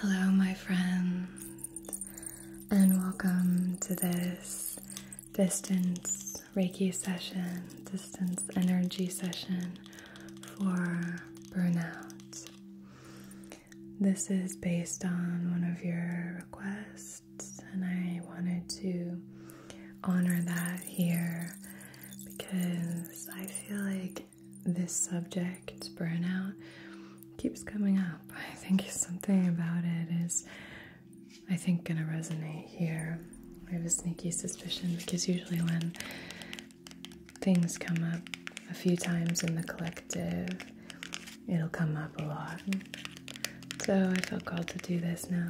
Hello, my friends, and welcome to this distance Reiki session, distance energy session for burnout. This is based on one of your requests, and I wanted to honor that here because I feel like this subject, burnout, keeps coming up. I think something about it is, I think, going to resonate here. I have a sneaky suspicion because usually when things come up a few times in the collective, it'll come up a lot. So I felt called to do this now.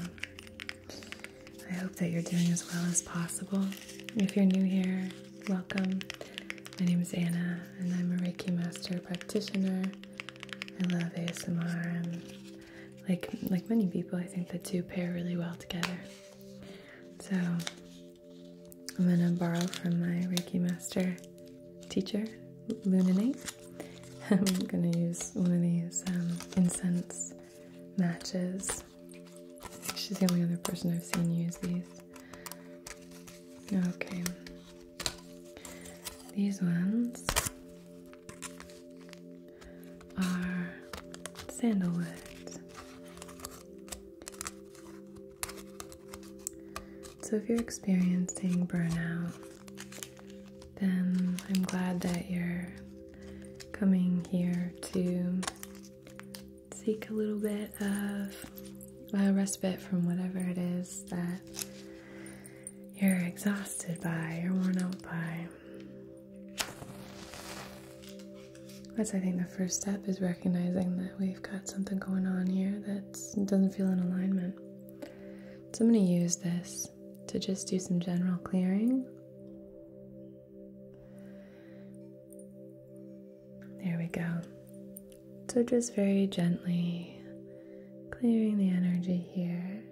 I hope that you're doing as well as possible. If you're new here, welcome. My name is Anna, and I'm a Reiki Master Practitioner. I love ASMR, and like like many people, I think the two pair really well together. So I'm gonna borrow from my Reiki Master teacher, Lunanate. I'm gonna use one of these um, incense matches She's the only other person I've seen use these. Okay. These ones are sandalwood. So if you're experiencing burnout, then I'm glad that you're coming here to seek a little bit of a respite from whatever it is that you're exhausted by, you're worn out by. That's, I think, the first step is recognizing that we've got something going on here that doesn't feel in alignment. So I'm going to use this to just do some general clearing there we go. So, just very gently clearing the energy here,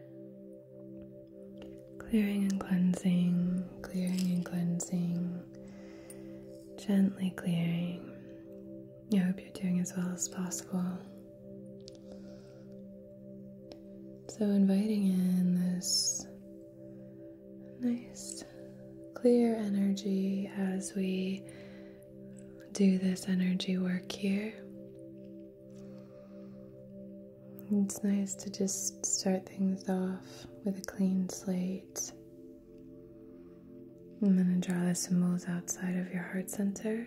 clearing and cleansing, clearing and cleansing, gently clearing. I hope you're doing as well as possible. So, inviting in this nice clear energy as we do this energy work here. It's nice to just start things off with a clean slate. I'm going to draw the symbols outside of your heart center.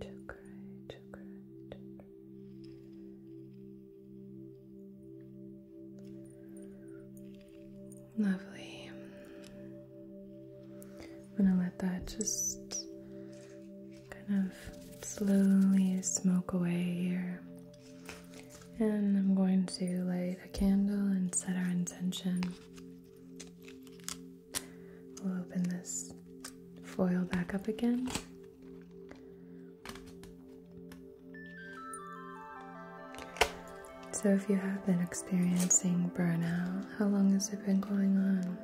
Chakra, chakra, chakra. Lovely. I'm gonna let that just kind of slowly smoke away here. And I'm going to light a candle and set our intention. We'll open this foil back up again. So, if you have been experiencing burnout, how long has it been going on?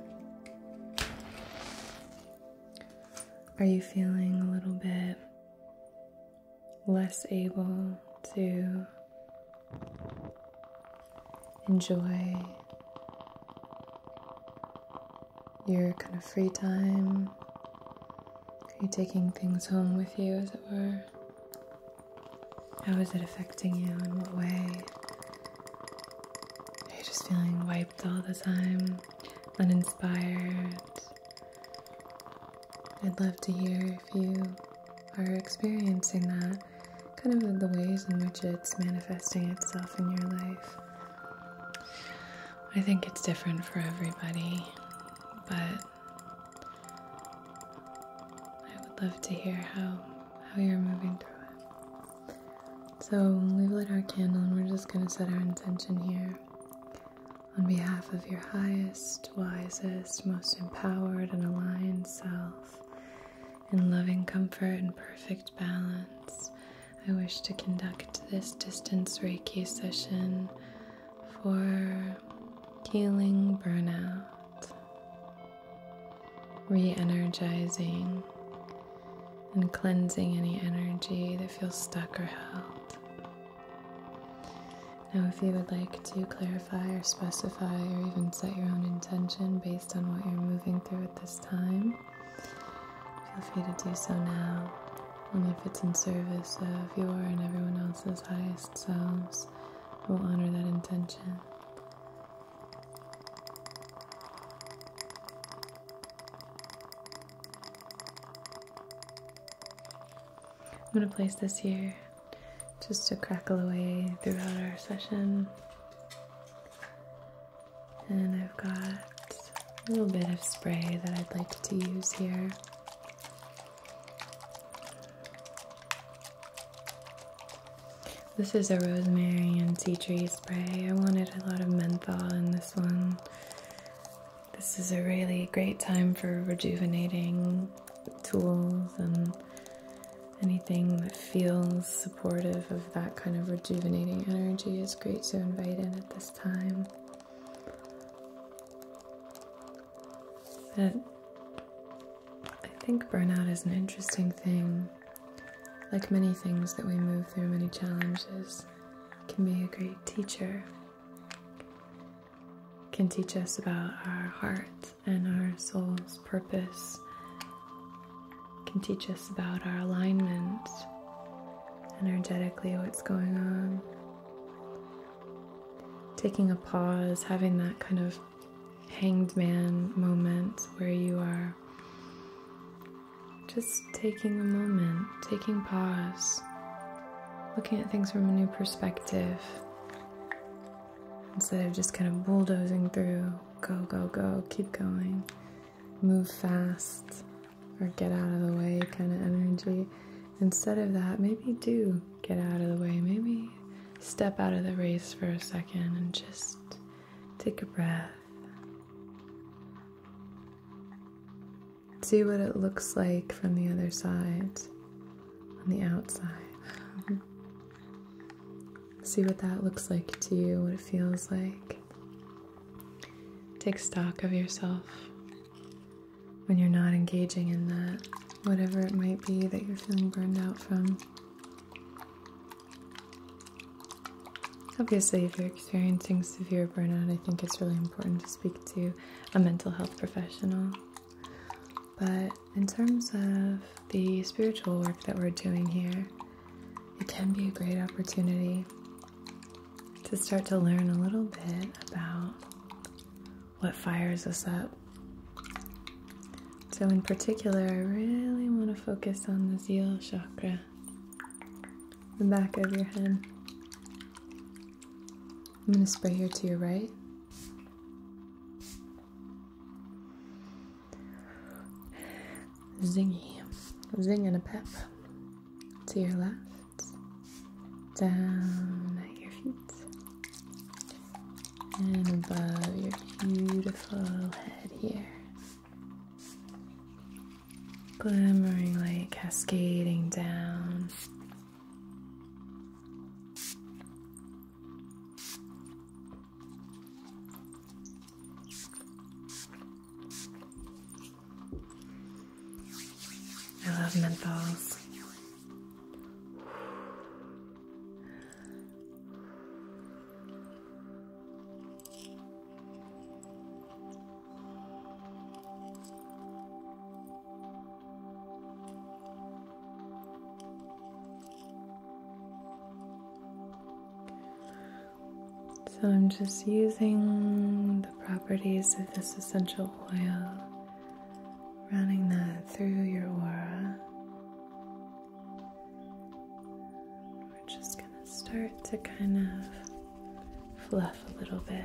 Are you feeling a little bit less able to enjoy your kind of free time? Are you taking things home with you, as it were? How is it affecting you? In what way? Are you just feeling wiped all the time? Uninspired? I'd love to hear if you are experiencing that, kind of the ways in which it's manifesting itself in your life. I think it's different for everybody, but I would love to hear how how you're moving through it. So we've lit our candle and we're just gonna set our intention here. On behalf of your highest, wisest, most empowered and aligned self, in loving comfort and perfect balance, I wish to conduct this distance Reiki session for healing burnout, re energizing, and cleansing any energy that feels stuck or held. Now, if you would like to clarify or specify or even set your own intention based on what you're moving through at this time, Feel free to do so now, only if it's in service of your and everyone else's highest selves, we'll honor that intention. I'm going to place this here just to crackle away throughout our session. And I've got a little bit of spray that I'd like to use here. This is a rosemary and tea tree spray. I wanted a lot of menthol in this one. This is a really great time for rejuvenating tools and anything that feels supportive of that kind of rejuvenating energy is great to invite in at this time. I think burnout is an interesting thing. Like many things that we move through, many challenges can be a great teacher. Can teach us about our heart and our soul's purpose can teach us about our alignment, energetically, what's going on. Taking a pause, having that kind of hanged man moment where you are just taking a moment, taking pause, looking at things from a new perspective instead of just kind of bulldozing through, go, go, go, keep going move fast or get out of the way kind of energy. Instead of that, maybe do get out of the way. Maybe step out of the race for a second and just take a breath. See what it looks like from the other side, on the outside. See what that looks like to you, what it feels like. Take stock of yourself when you're not engaging in that, whatever it might be that you're feeling burned out from. Obviously, if you're experiencing severe burnout, I think it's really important to speak to a mental health professional. But in terms of the spiritual work that we're doing here, it can be a great opportunity to start to learn a little bit about what fires us up. So, in particular, I really want to focus on the zeal chakra, the back of your head. I'm going to spray here to your right. Zingy, zing and a pep to your left, down at your feet, and above your beautiful head here. Glimmering light cascading down. I love menthols. So I'm just using the properties of this essential oil, running that through your aura. We're just going to start to kind of fluff a little bit.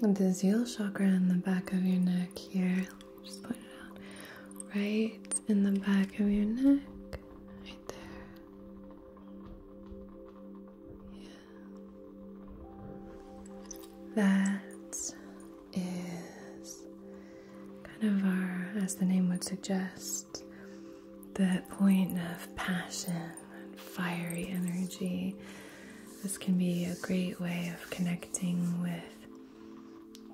The Yule chakra in the back of your neck here. Just point it out. Right in the back of your neck. Right there. Yeah. That is kind of our, as the name would suggest, the point of passion and fiery energy. This can be a great way of connecting with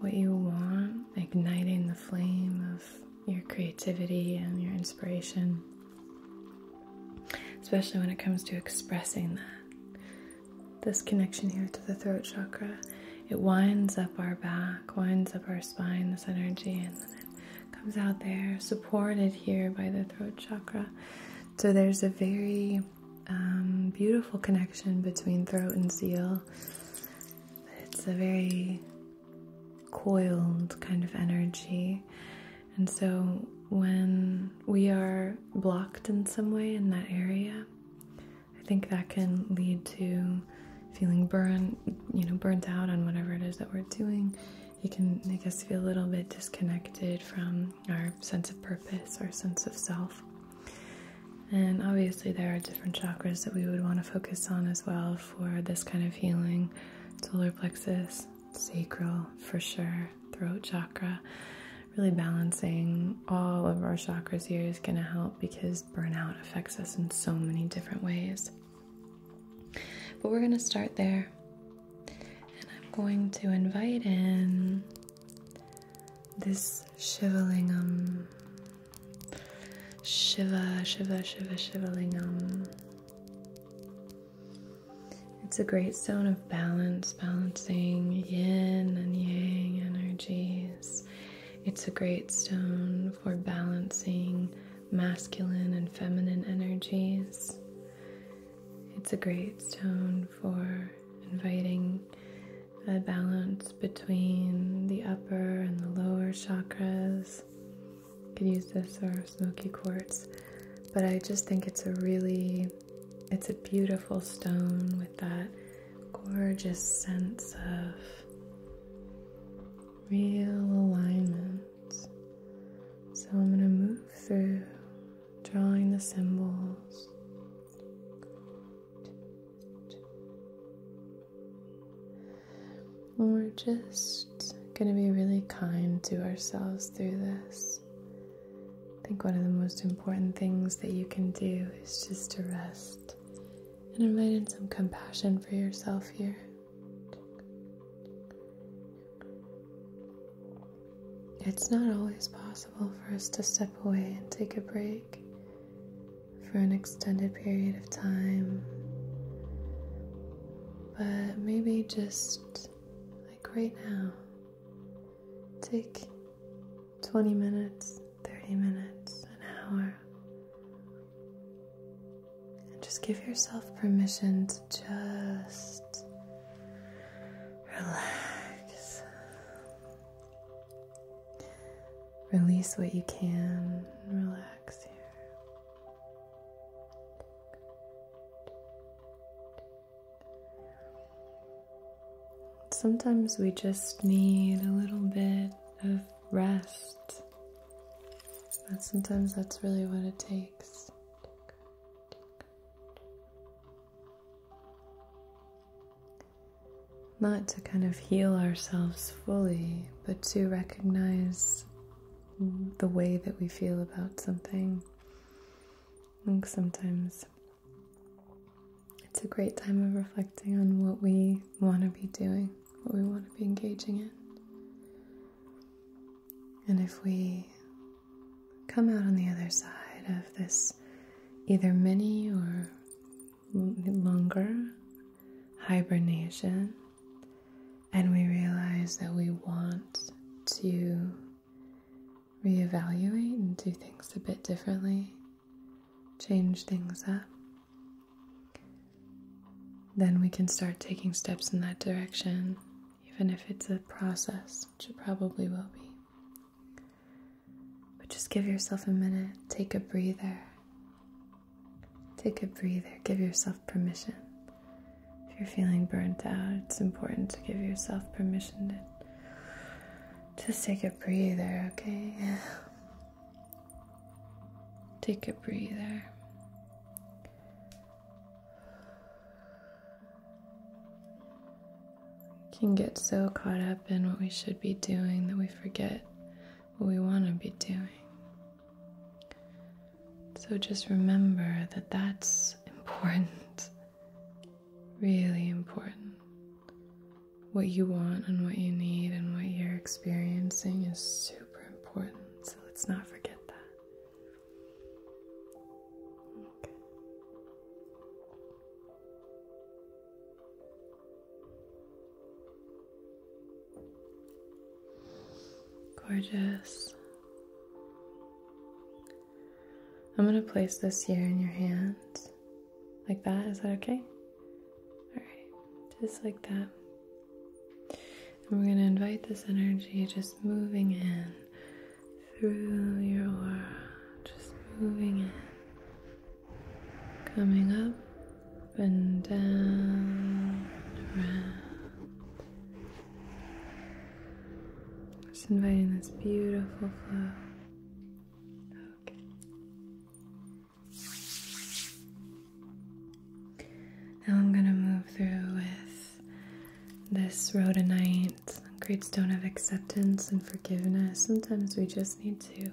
what you want, igniting the flame of your creativity and your inspiration, especially when it comes to expressing that. This connection here to the throat chakra it winds up our back, winds up our spine, this energy, and then it comes out there, supported here by the throat chakra. So there's a very um, beautiful connection between throat and seal. It's a very coiled kind of energy. And so when we are blocked in some way in that area, I think that can lead to feeling burnt, you know, burnt out on whatever it is that we're doing. It can make us feel a little bit disconnected from our sense of purpose, our sense of self. And obviously, there are different chakras that we would want to focus on as well for this kind of healing solar plexus, sacral for sure, throat chakra. Really balancing all of our chakras here is going to help because burnout affects us in so many different ways. But we're going to start there. And I'm going to invite in this Shivalingam. Shiva, Shiva, Shiva, Shivalingam. It's a great stone of balance, balancing yin and yang energies. It's a great stone for balancing masculine and feminine energies. It's a great stone for inviting a balance between the upper and the lower chakras. You can use this or smoky quartz, but I just think it's a really it's a beautiful stone with that gorgeous sense of real alignment. So I'm going to move through drawing the symbols. we're just going to be really kind to ourselves through this. I think one of the most important things that you can do is just to rest and invite in some compassion for yourself here. It's not always possible for us to step away and take a break for an extended period of time. But maybe just like right now, take 20 minutes, 30 minutes, an hour. And just give yourself permission to just relax. Release what you can, relax here. Sometimes we just need a little bit of rest. sometimes that's really what it takes. Not to kind of heal ourselves fully, but to recognize the way that we feel about something. sometimes it's a great time of reflecting on what we want to be doing, what we want to be engaging in. And if we come out on the other side of this either mini or longer hibernation, and we realize that we want to reevaluate and do things a bit differently, change things up, then we can start taking steps in that direction, even if it's a process, which it probably will be. But just give yourself a minute, take a breather. Take a breather, give yourself permission. If you're feeling burnt out, it's important to give yourself permission to just take a breather, okay? Take a breather. can get so caught up in what we should be doing that we forget what we want to be doing. So just remember that that's important, really important what you want and what you need and what you're experiencing is super important. So let's not forget that. Gorgeous. I'm going to place this here in your hand like that, is that okay? Alright, just like that. we're going to invite this energy just moving in through your aura, just moving in, coming up and down, around. Just inviting this beautiful flow. Okay. Now I'm going to move through with this rhodonite, great stone of acceptance and forgiveness. Sometimes we just need to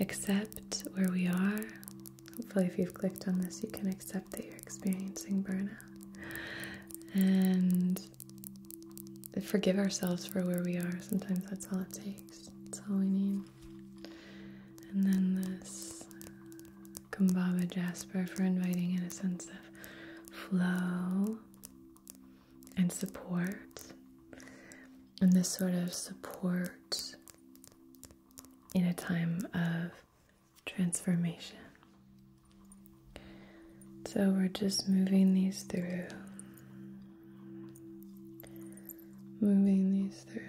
accept where we are. Hopefully, if you've clicked on this, you can accept that you're experiencing burnout. And forgive ourselves for where we are. Sometimes that's all it takes. That's all we need. And then this Kumbaba Jasper for inviting in a sense of flow and support. And this sort of support in a time of transformation. So we're just moving these through moving these through.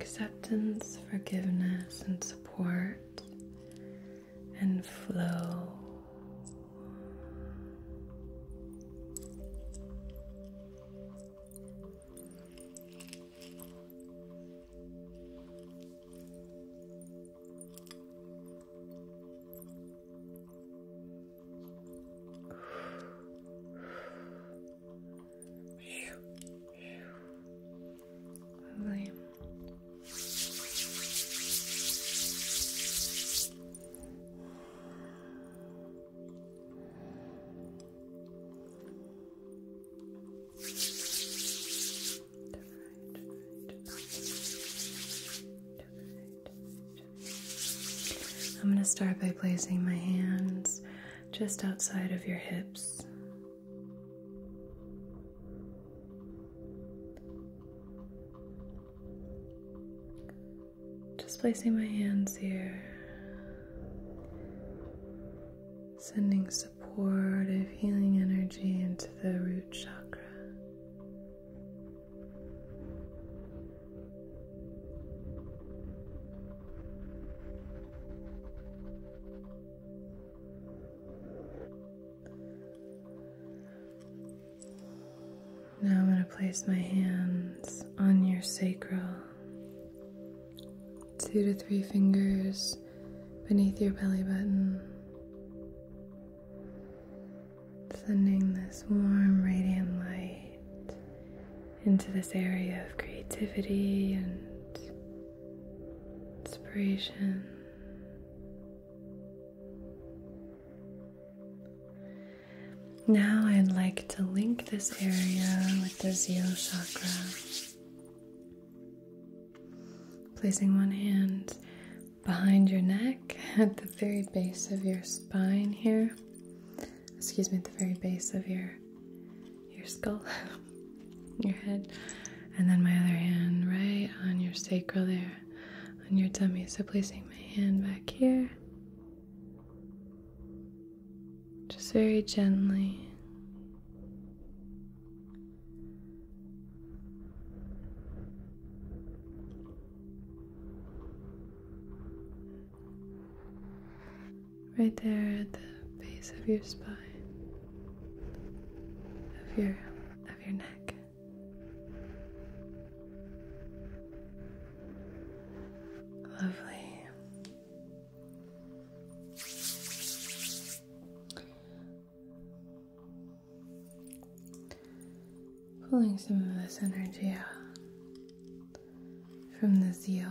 Acceptance, forgiveness, and support and flow. I'm going to start by placing my hands just outside of your hips just placing my hands here, sending supportive healing energy into the root chakra. Now I'm going to place my hands on your sacral, two to three fingers beneath your belly button, sending this warm, radiant light into this area of creativity and inspiration. Now I'd like to link this area with the zero chakra, placing one hand behind your neck at the very base of your spine here. Excuse me, at the very base of your your skull. your head, and then my other hand right on your sacral there, on your tummy. So placing my hand back here, just very gently. right there at the base of your spine, of your of your neck. Lovely. Pulling some of this energy out from the zeal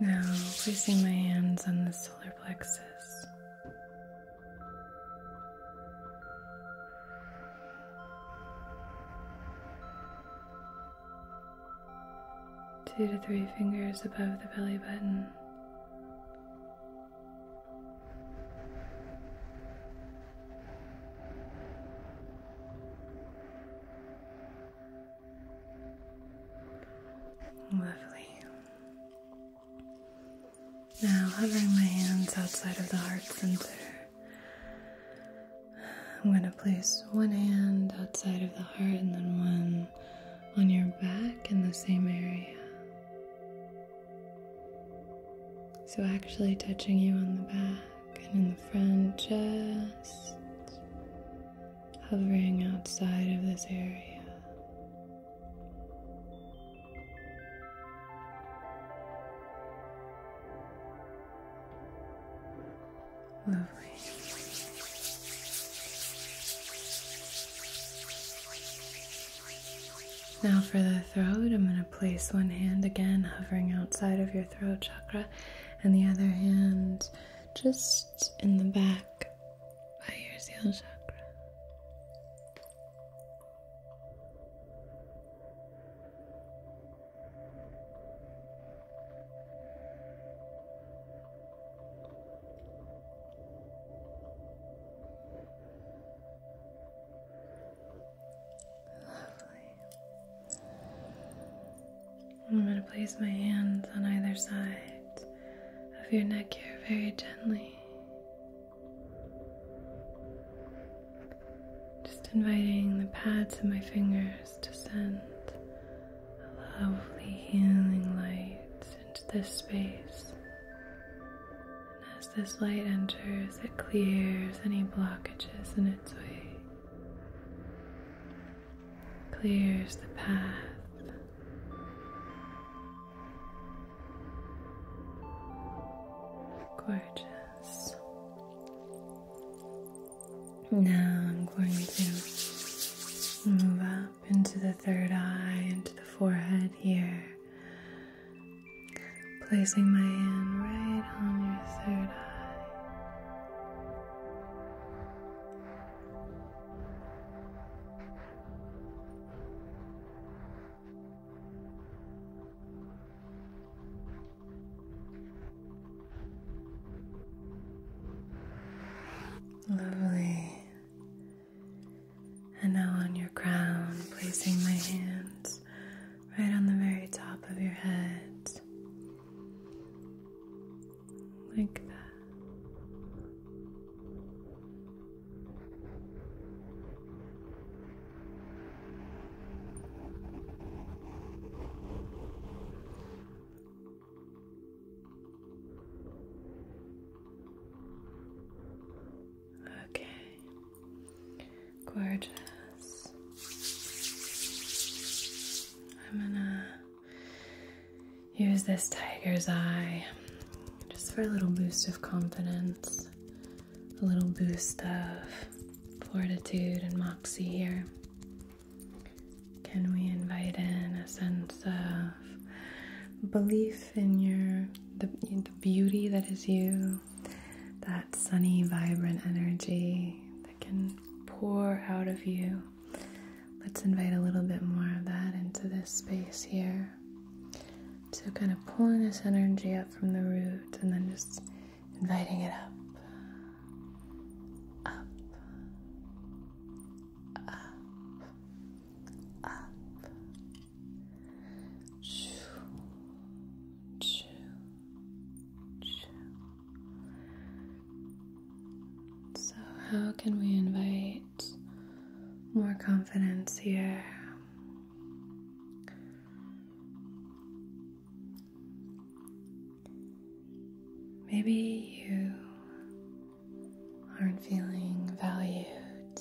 Now, placing my hands on the solar plexus two to three fingers above the belly button. Lovely. Now, hovering my hands outside of the heart center, I'm going to place one hand outside of the heart and then one on your back in the same area. So, actually touching you on the back and in the front, just hovering outside of this area. Now, for the throat, I'm going to place one hand again hovering outside of your throat chakra and the other hand just in the back by your seal chakra. Lovely. I'm going to place my hands on either side of your neck here very gently. Just inviting the pads of my fingers to send a lovely healing light into this space. And as this light enters, it clears any blockages in its way, clears the path. Gorgeous. Now I'm going to move up into the third eye, into the forehead here, placing my hand right on your third eye. Lovely. And now on your crown, placing my hands right on the very top of your head. Like that. Okay, gorgeous. I'm gonna use this tiger's eye just for a little boost of confidence, a little boost of fortitude and moxie here. Can we invite in a sense of belief in your the, beauty that is you, that sunny, vibrant energy that can pour out of you? Let's invite a little bit more of that into this space here. So, kind of pulling this energy up from the root and then just inviting it up, up, up, up. So, how can we invite more confidence here? Maybe you aren't feeling valued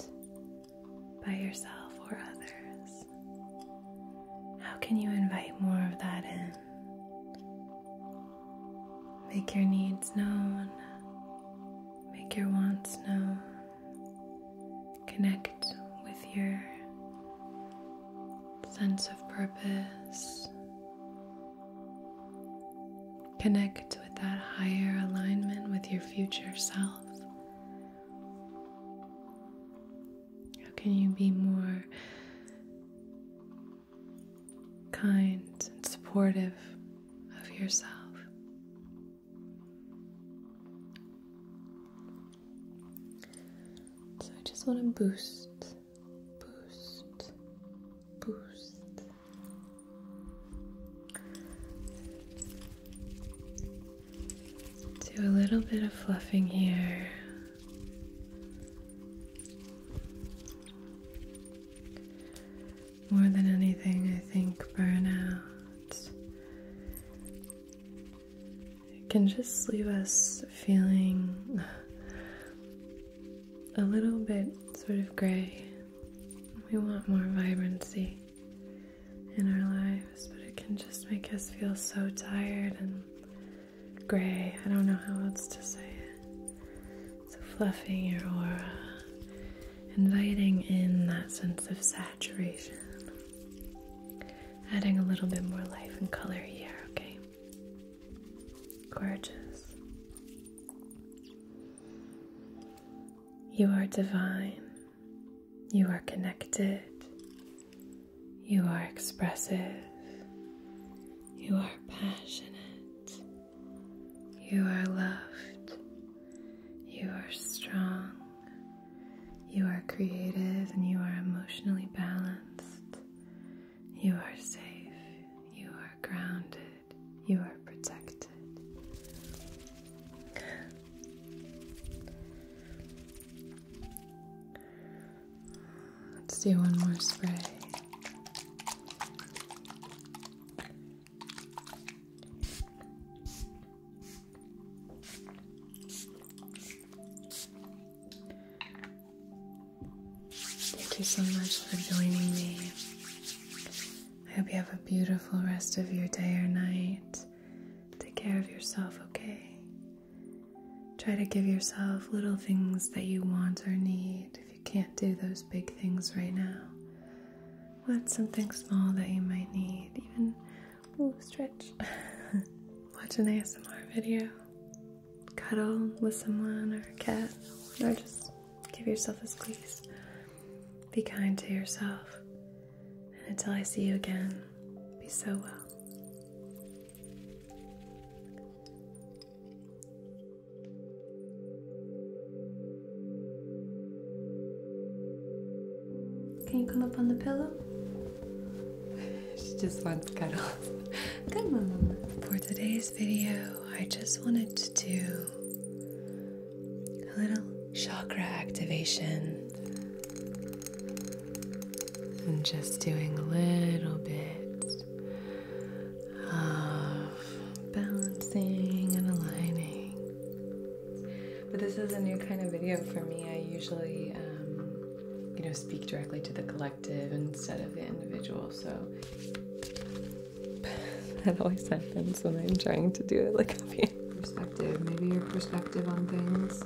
by yourself or others. How can you invite more of that in? Make your needs known, make your wants known, connect with your sense of purpose. Connect with that higher alignment with your future self. How can you be more kind and supportive of yourself? So I just want to boost, boost, boost. Do a little bit of fluffing here. More than anything, I think burnout it can just leave us feeling a little bit sort of gray. We want more vibrancy in our lives, but it can just make us feel so tired and gray. I don't know how else to say it. So, fluffing your aura, inviting in that sense of saturation, adding a little bit more life and color here, okay? Gorgeous. You are divine. You are connected. You are expressive. You are passionate. You are loved. You are strong. You are creative and you are emotionally balanced. You are safe, you are grounded, you are protected. Let's do one more spray. Thank you so much for joining me. I hope you have a beautiful rest of your day or night. Take care of yourself, okay? Try to give yourself little things that you want or need if you can't do those big things right now. What's something small that you might need? Even, ooh, stretch. Watch an ASMR video cuddle with someone or a cat, or just give yourself a squeeze. Be kind to yourself. And until I see you again, be so well. Can you come up on the pillow? she just wants cuddles. Come on. For today's video, I just wanted to do a little chakra activation. and just doing a little bit of balancing and aligning. But this is a new kind of video for me. I usually um, you know, speak directly to the collective instead of the individual. So that always happens when I'm trying to do it. Like, perspective, maybe your perspective on things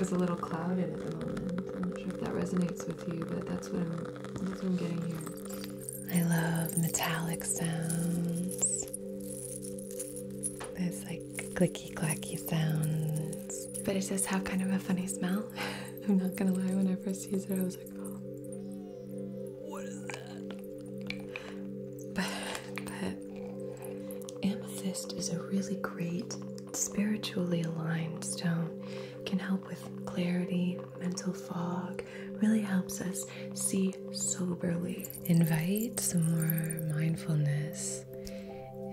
is a little clouded at the moment. I'm not sure if that resonates with you, but that's what I'm, getting here. I love metallic sounds. It's like, clicky clacky sounds. But it does have kind of a funny smell. I'm not gonna lie, when I first used it, I was like, oh, what is that? But, but amethyst is a really great spiritually aligned stone. can help with clarity, mental fog, really helps us see soberly. Invite some more mindfulness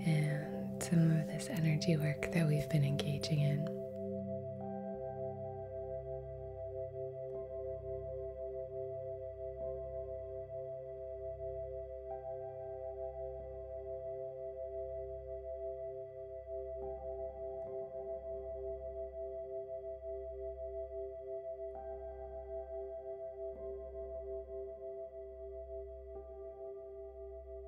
and some of this energy work that we've been engaging in.